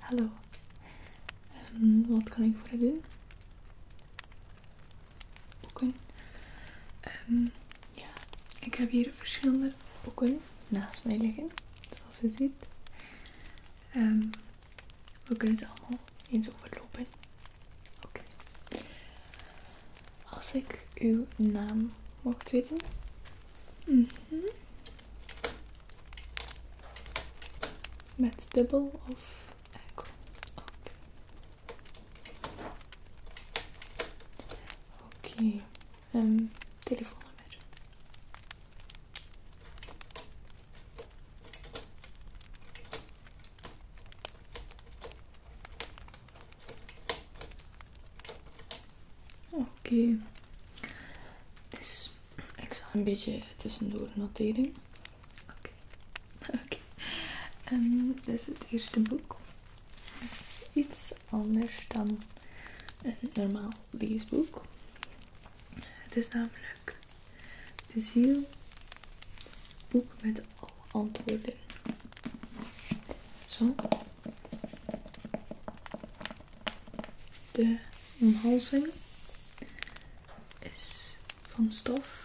Hallo, ehm, wat kan ik voor u doen? Boeken. Ehm, ja, ik heb hier verschillende boeken naast mij liggen, zoals u ziet. we kunnen ze allemaal eens overlopen. Oké. Als ik uw naam mocht weten. Mhm. Met dubbel of enkel? Oké. Okay. Okay. Um, ehm, telefoonnummer. Oké. Okay. Ik zal een beetje tussendoor noteren. Oké. Oké. Ehm, dit is het eerste boek. Het is iets anders dan een normaal leesboek. Het is namelijk De Ziel, boek met alle antwoorden. Zo. De omhalzing is van stof.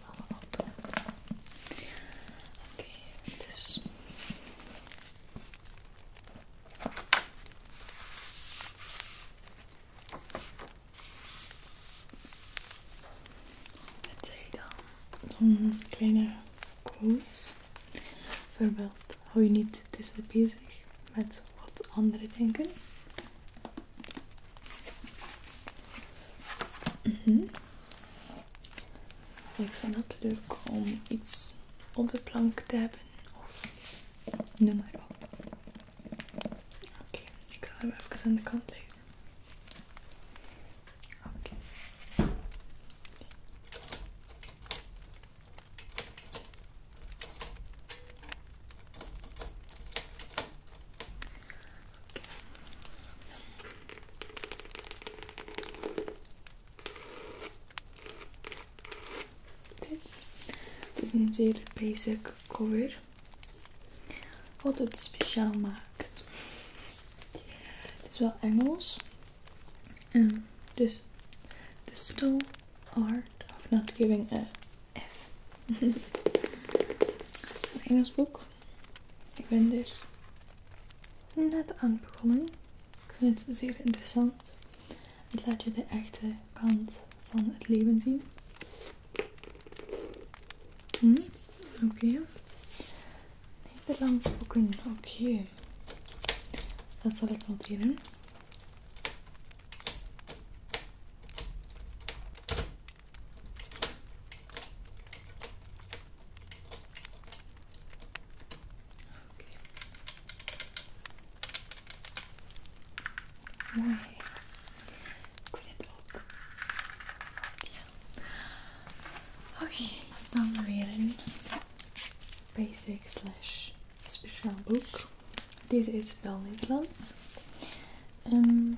wat doen. Oké, okay, dus. Met zij dan zo'n kleine quotes. Bijvoorbeeld, hou je niet te veel bezig met wat andere denken. Mhm. Ik vind het leuk om iets op de plank te hebben. Of noem maar op. Oké, ik ga hem even aan de kant leggen. Oké. Het is een zeer basic cover. Wat het speciaal maakt. Het is wel Engels. Um, dus the subtle art of not giving a F. een Engels boek. Ik ben er dus net aan begonnen. Ik vind het zeer interessant. Het laat je de echte kant van het leven zien. Hm? oké. Nederlands oké. Dat zal ik noteren. Oké, dan weer een basic slash speciaal boek. Deze is wel Nederlands. Um,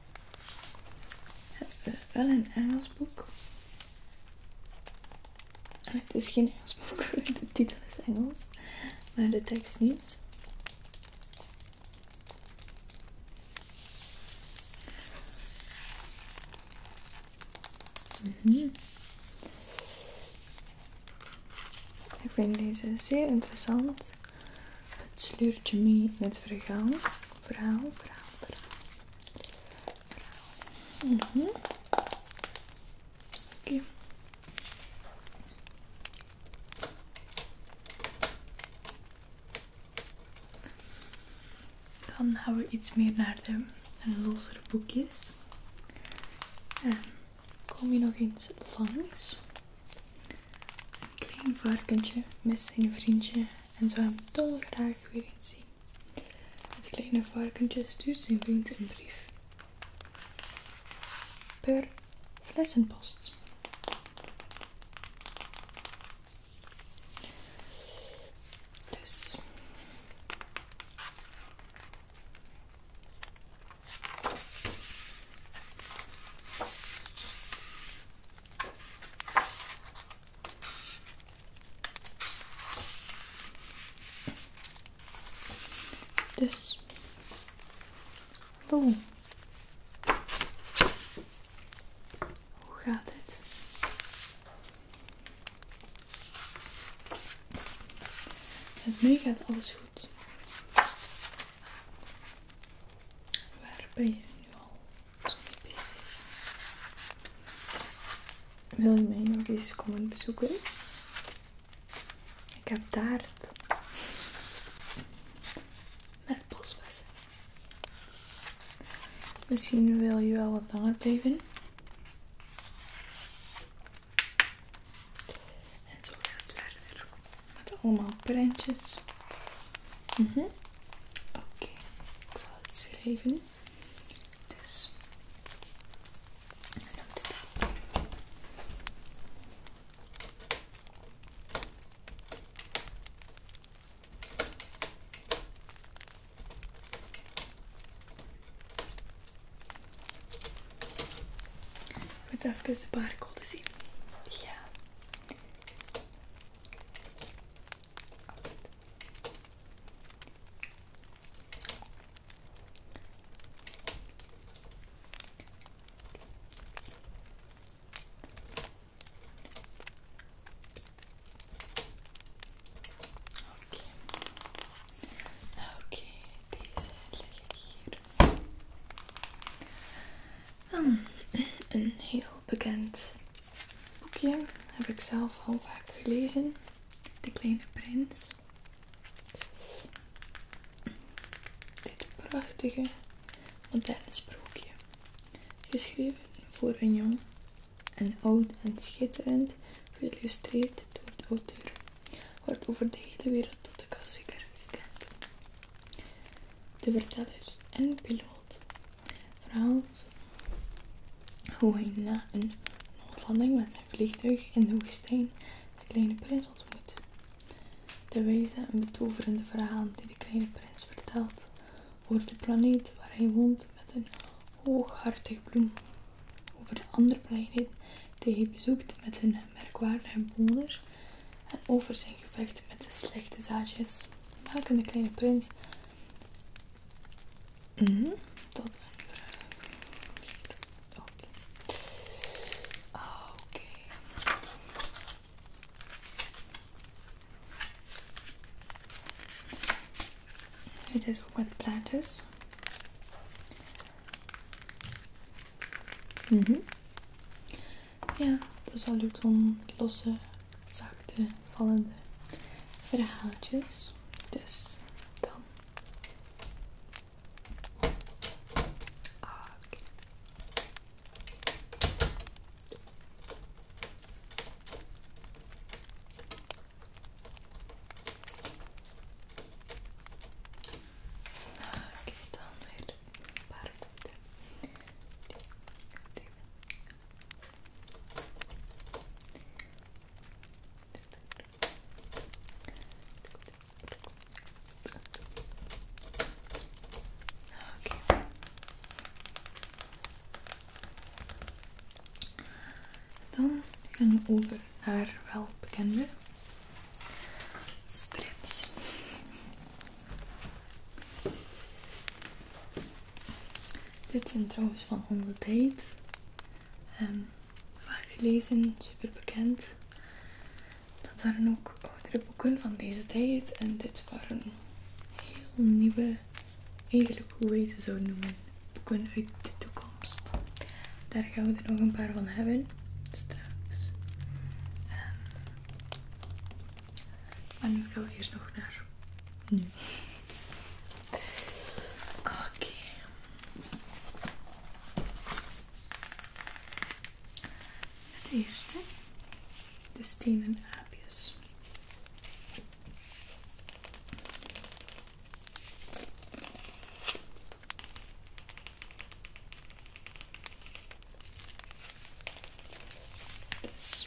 Het is wel een Engels boek. Het is geen Engels boek, de titel is Engels, maar de tekst niet. Mhm. Ik vind deze zeer interessant. Het sleurtje mee met vergaan, Verhaal, verhaal, verhaal. Mhm. Oké. Dan gaan we iets meer naar de, de losere boekjes. En ehm, kom je nog eens langs klein varkentje met zijn vriendje en zou hem dolgraag weer eens zien. Het kleine varkentje stuurt zijn vriend een brief. Per flessenpost. Dus. Dus. Hallo. Hoe gaat het? het meegaat alles goed. Waar ben je nu al? Wil je mij nog eens komen bezoeken? Ik heb daar Met bosbes. Misschien wil je wel wat langer blijven. En zo gaat het verder. Met allemaal prentjes. Mhm. Oké, okay. ik zal het schrijven Dus, dan doe ik dat. zien. Ja. Oké, okay. okay, deze leg hier. Dan eh, bekend boekje. Heb ik zelf al vaak gelezen. De Kleine Prins. Dit prachtige moderne sprookje. Geschreven voor een jong en oud en schitterend. Geïllustreerd door de auteur. Wordt over de hele wereld tot de klassieker gekend. De verteller en piloot verhaalt hoe hij na een landing met zijn vliegtuig in de woestijn de kleine prins ontmoet. De wijze en betoverende verhaal die de kleine prins vertelt over de planeet waar hij woont met een hooghartig bloem, over de andere planeet die hij bezoekt met een merkwaardige bewoners en over zijn gevecht met de slechte zaadjes, maken de kleine prins tot mhm, een Oké. is plaatjes. Mhm. Ja, dat is wel leuk om losse zachte, vallende verhaaltjes. Dus dan. Okay. dan weer dan gaan we over wel welbekende strips. Dit zijn trouwens van onze tijd. Ehm, vaak gelezen, super bekend. Dat waren ook oudere boeken van deze tijd. En dit waren heel nieuwe, eigenlijk hoe we ze zou noemen, boeken uit de toekomst. Daar gaan we er nog een paar van hebben straks. Ehm, maar nu gaan we eerst nog naar nu. Oké. Het eerste. De stenen aapjes. Dus,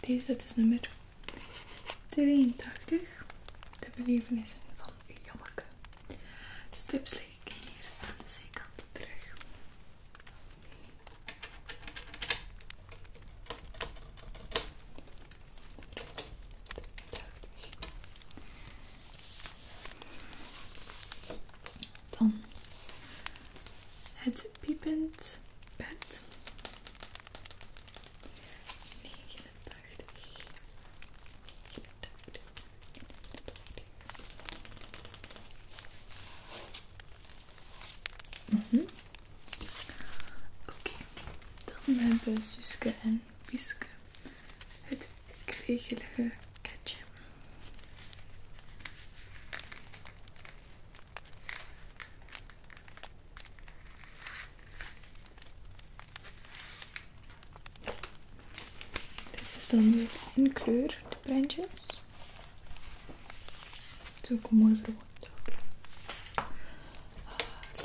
Deze, is nummer 83. De belevenissen van jammerke. De hier aan de zijkant terug. Dan het piepend bed. 89. Mhm. Oké, dan hebben Suske en Wiske het kregelige katje. Dit is dan weer in kleur, de prentjes. Zo kom ook er verwoord. Oké.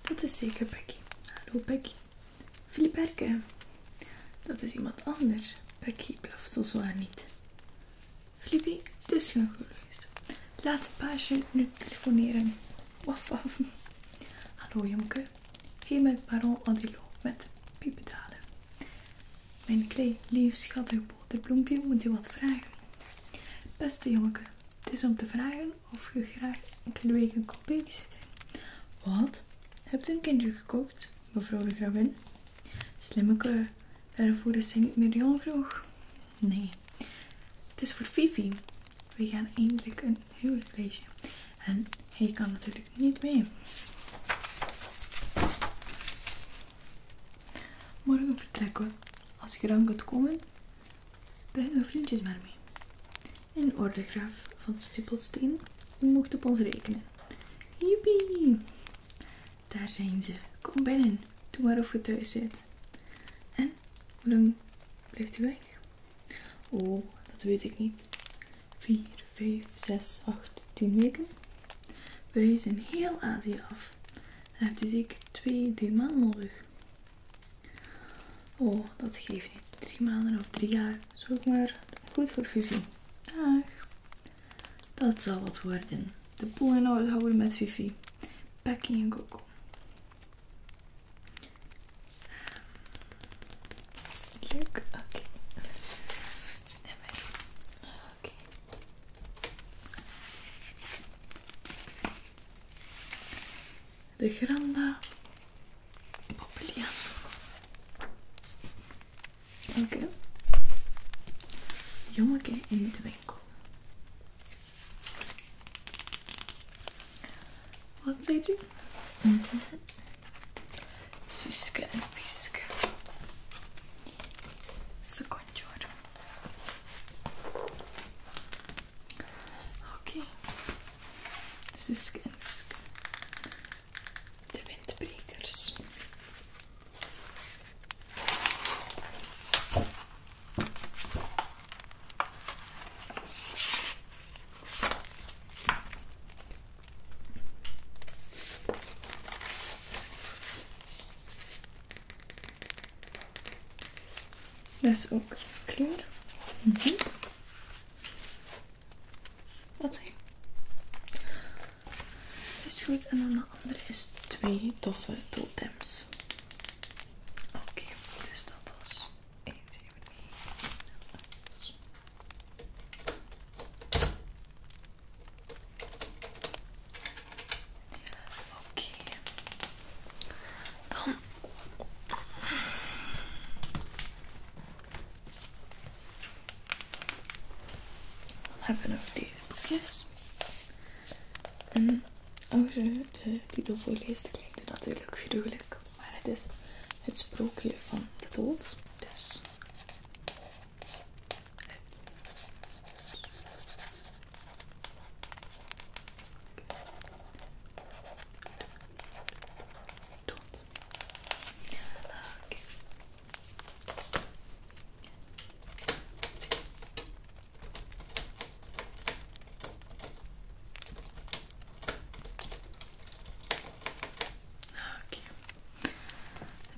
Dat is zeker Becky. Hallo Becky. Filiberke. Dat is iemand anders. Becky blaft zo aan niet. Flippy, het is genoeg geweest. Laat paasje nu telefoneren. Waf Hallo Jonke. Hier met Baron lo met piepedalen. Mijn klei lief, schattig bloempje moet je wat vragen. Beste Jonke, het is om te vragen of je graag enkele een kopje babysitten. Wat? Heb je een kindje gekocht, mevrouw de gravin? Slimmeke, daarvoor is hij niet meer jong genoeg. Nee, het is voor Vivi. We gaan eindelijk een huwelijksreisje. En hij kan natuurlijk niet mee. Morgen vertrekken we. Als je dan kunt komen, Breng uw vriendjes maar mee. Een ordegraaf van Stippelsteen. U moogt op ons rekenen. Juppie! Daar zijn ze. Kom binnen. Doe maar of u thuis zit. En, hoe lang blijft u weg? Oh, dat weet ik niet. 4, 5, 6, 8, 10 weken. We reizen heel Azië af. Dan heb je zeker twee, drie maanden nodig. Oh, dat geeft niet. Drie maanden of drie jaar. zo maar goed voor Fifi. Dag. Dat zal wat worden. De poolen in orde houden met Fifi. Becky en Coco. Leuk. Oké. Oké de Granda Populian. Elke jongetje in de winkel. Wat zei je Mm Suske en Piske. Secondje hoor. Oké. Okay. en Suske. De windbrekers. Dat is ook kleur. Mhm. Wat Is goed. En dan de andere is twee toffe totems. Oké, dus dat was 1, 7, Oké. Dan hebben we nog deze boekjes. En als oh, je de Bijbel voorleest, klinkt het natuurlijk gruwelijk. Maar het is het sprookje van de dood. Dus. Het tot.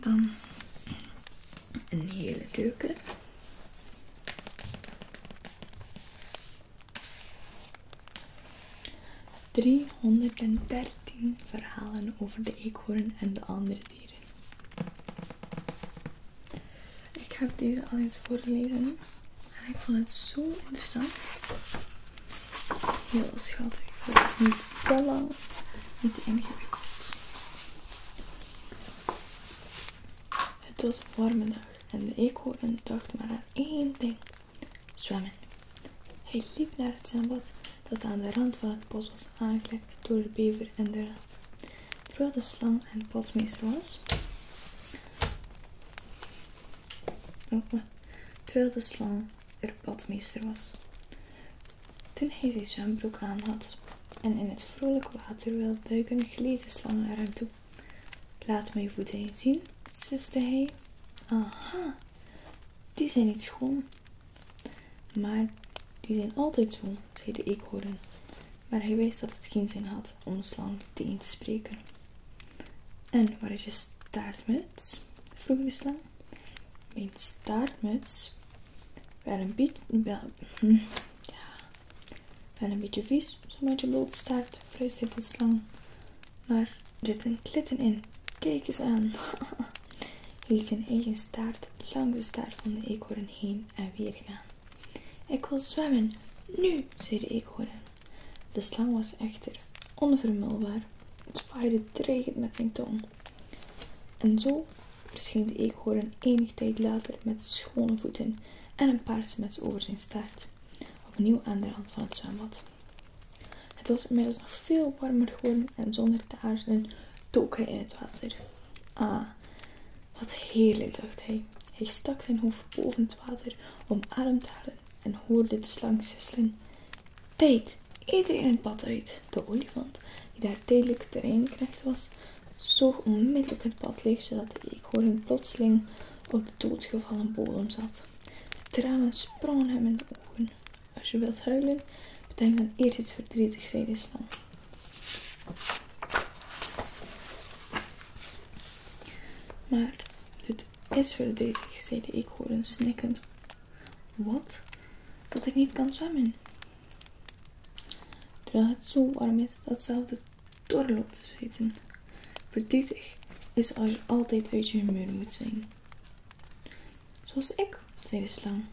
Dan een hele leuke. 313 verhalen over de eekhoorn en de andere dieren. Ik heb deze al eens voorgelezen en ik vond het zo interessant. Heel schattig. Het is niet te lang, niet ingewikkeld. Het was een warme dag en de eekhoorn dacht maar aan één ding: zwemmen. Hij liep naar het zwembad dat aan de rand van het bos was aangelegd door de bever en de rat. Terwijl de slang en padmeester was. Oh, terwijl de slang er padmeester was. Toen hij zijn zwembroek aanhad en in het vrolijk water wilde duiken, gleed de slang naar hem toe. Laat me je voeten zien, siste hij. Aha, die zijn niet schoon. Maar die zijn altijd zo, zeiden ik eekhoorn. Maar hij wist dat het geen zin had om de slang tegen te spreken. En waar is je staartmuts? vroeg de slang. Mijn staartmuts? Wel een beetje... Wel, ja, en een beetje vies, zo'n beetje staart, vlees de slang. Maar er zitten klitten in. Kijk eens aan. liet zijn eigen staart langs de staart van de eekhoorn heen en weer gaan. Ik wil zwemmen, nu, zei de eekhoorn. De slang was echter onvermulbaar, spaarde dreigend met zijn tong. En zo verscheen de eekhoorn enig tijd later met schone voeten en een paar smets over zijn staart opnieuw aan de hand van het zwembad. Het was inmiddels nog veel warmer geworden en zonder te aarzelen took hij in het water. Ah, wat heerlijk, dacht hij. Hij stak zijn hoofd boven het water om adem te halen en hoorde de slang sisselen. Tijd! Iedereen het pad uit! De olifant, die daar tijdelijk terreinknecht was, zoog onmiddellijk het pad leeg, zodat de een plotseling op de doodgevallen bodem zat. Tranen sprongen hem in de ogen. Als je wilt huilen, bedenk dan eerst iets verdrietigs, zei de Maar dit is verdrietig, Ik hoor een snikkend. Wat? Dat ik niet kan zwemmen. Terwijl het zo warm is dat zelfs doorloopt te zweten. Verdrietig is als je altijd uit je humeur moet zijn. Zoals ik, zei de slang.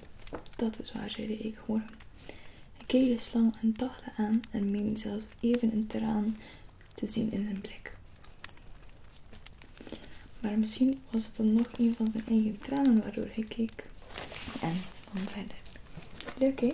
Dat is waar, zei de eekhoorn. Hij keek de slang en dachte aan en meende zelfs even een traan te zien in zijn blik. Maar misschien was het dan nog een van zijn eigen tranen waardoor hij keek. En dan verder. Leuk hè?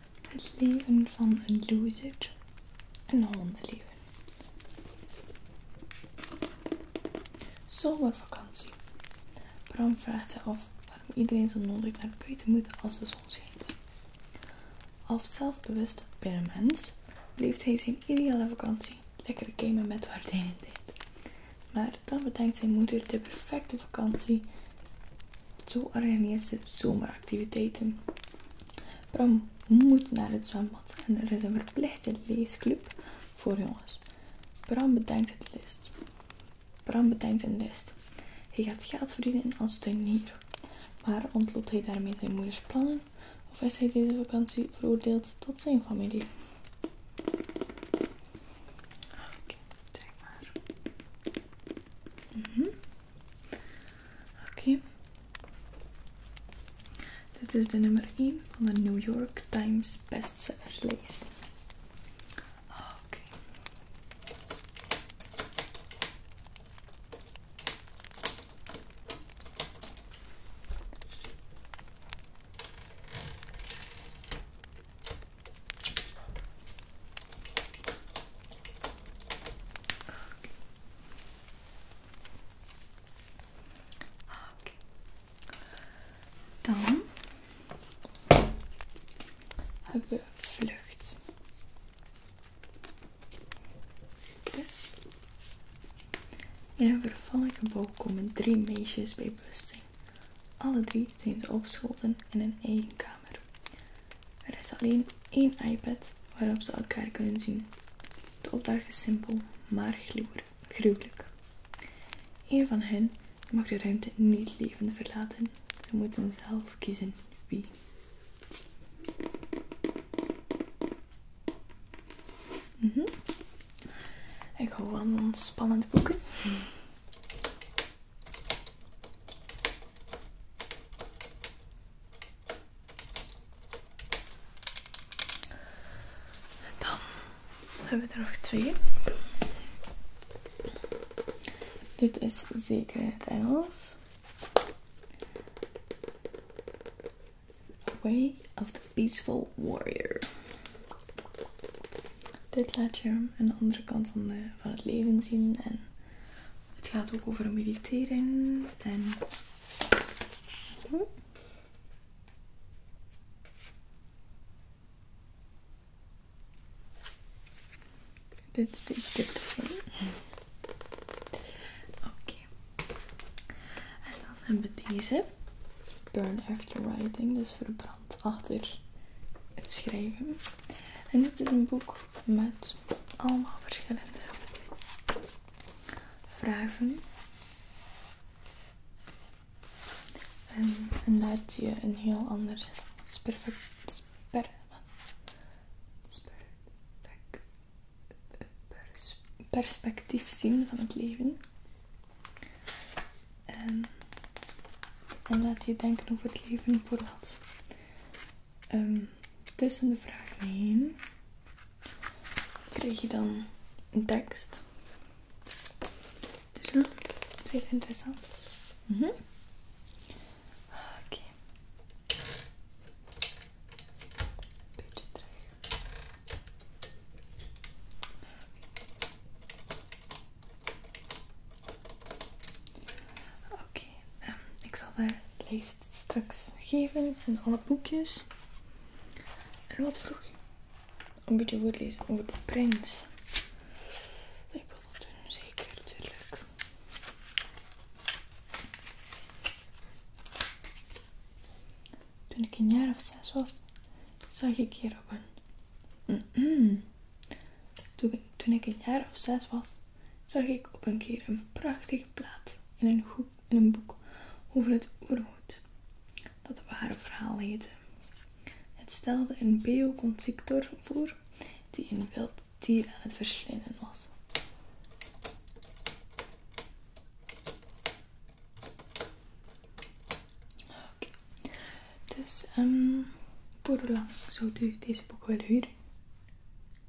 Het leven van een loser. Een hondenleven. Zomervakantie. Bram vraagt zich af waarom iedereen zo nodig naar buiten moet als de zon schijnt. Als zelfbewust binnenmens leeft hij zijn ideale vakantie. Lekker gamen met in deed. Maar dan bedenkt zijn moeder de perfecte vakantie. Zo organiseert ze zomeractiviteiten. Bram moet naar het zwembad en er is een verplichte leesclub voor jongens. Bram bedenkt het list. Bram bedenkt een list. Hij gaat geld verdienen als tuinier. Maar ontloopt hij daarmee zijn moeders plannen? Of is hij deze vakantie veroordeeld tot zijn familie? Oké, maar. Mhm. Oké. Dit is de nummer 1 van de New York Times bestsellerslijst. Oké. Ah, oké. Dan hebben we vlucht. Dus, in een vervallige bouw komen drie meisjes bij bewustzijn. Alle drie zijn ze opgeschoten in een eenkamer. kamer. Er is alleen één iPad waarop ze elkaar kunnen zien. De opdracht is simpel, maar gruwelijk. Een van hen mag de ruimte niet levend verlaten. Ze moeten zelf kiezen wie. Mm Ik hou van spannende boeken. Dan hebben we er nog twee. Dit is zeker het Engels. Way of the Peaceful Warrior. Dit laat je een andere kant van, van het leven zien. En het gaat ook over mediteren en dit is dit erheen. Oké. En dan hebben we deze. Burn after writing. Dus verbrand achter het schrijven. En dit is een boek met allemaal verschillende vragen En, laat je een heel ander perspectief zien van het leven. En, en laat je denken over het leven voor wat Ehm, tussen de vragen heen krijg je dan een tekst. Dus is heel interessant. Mhm. Oké. Beetje eh, ik zal de lijst straks geven en alle boekjes. En wat vroeg je? Een beetje lezen over de prins. Ik wil dat doen, zeker, natuurlijk. Toen ik een jaar of zes was, zag ik hier op een... Toen ik een jaar of zes was, zag ik op een keer een prachtig plaat in een hoek in een boek over het oerwoud, dat ware verhaal heette. Het stelde een beoconstrictor voor die in wild dier aan het verslinden was. Oké. Dus um, zo doe zou deze boek willen huren?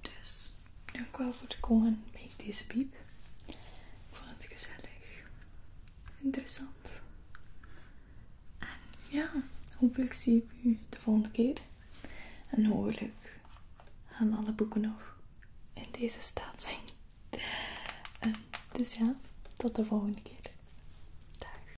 Dus dank wel voor het komen bij deze piep. Ik vond het gezellig, interessant. En ja, hopelijk zie ik u de volgende keer. En hopelijk gaan alle boeken nog in deze staat zijn. Dus ja, tot de volgende keer. Dag.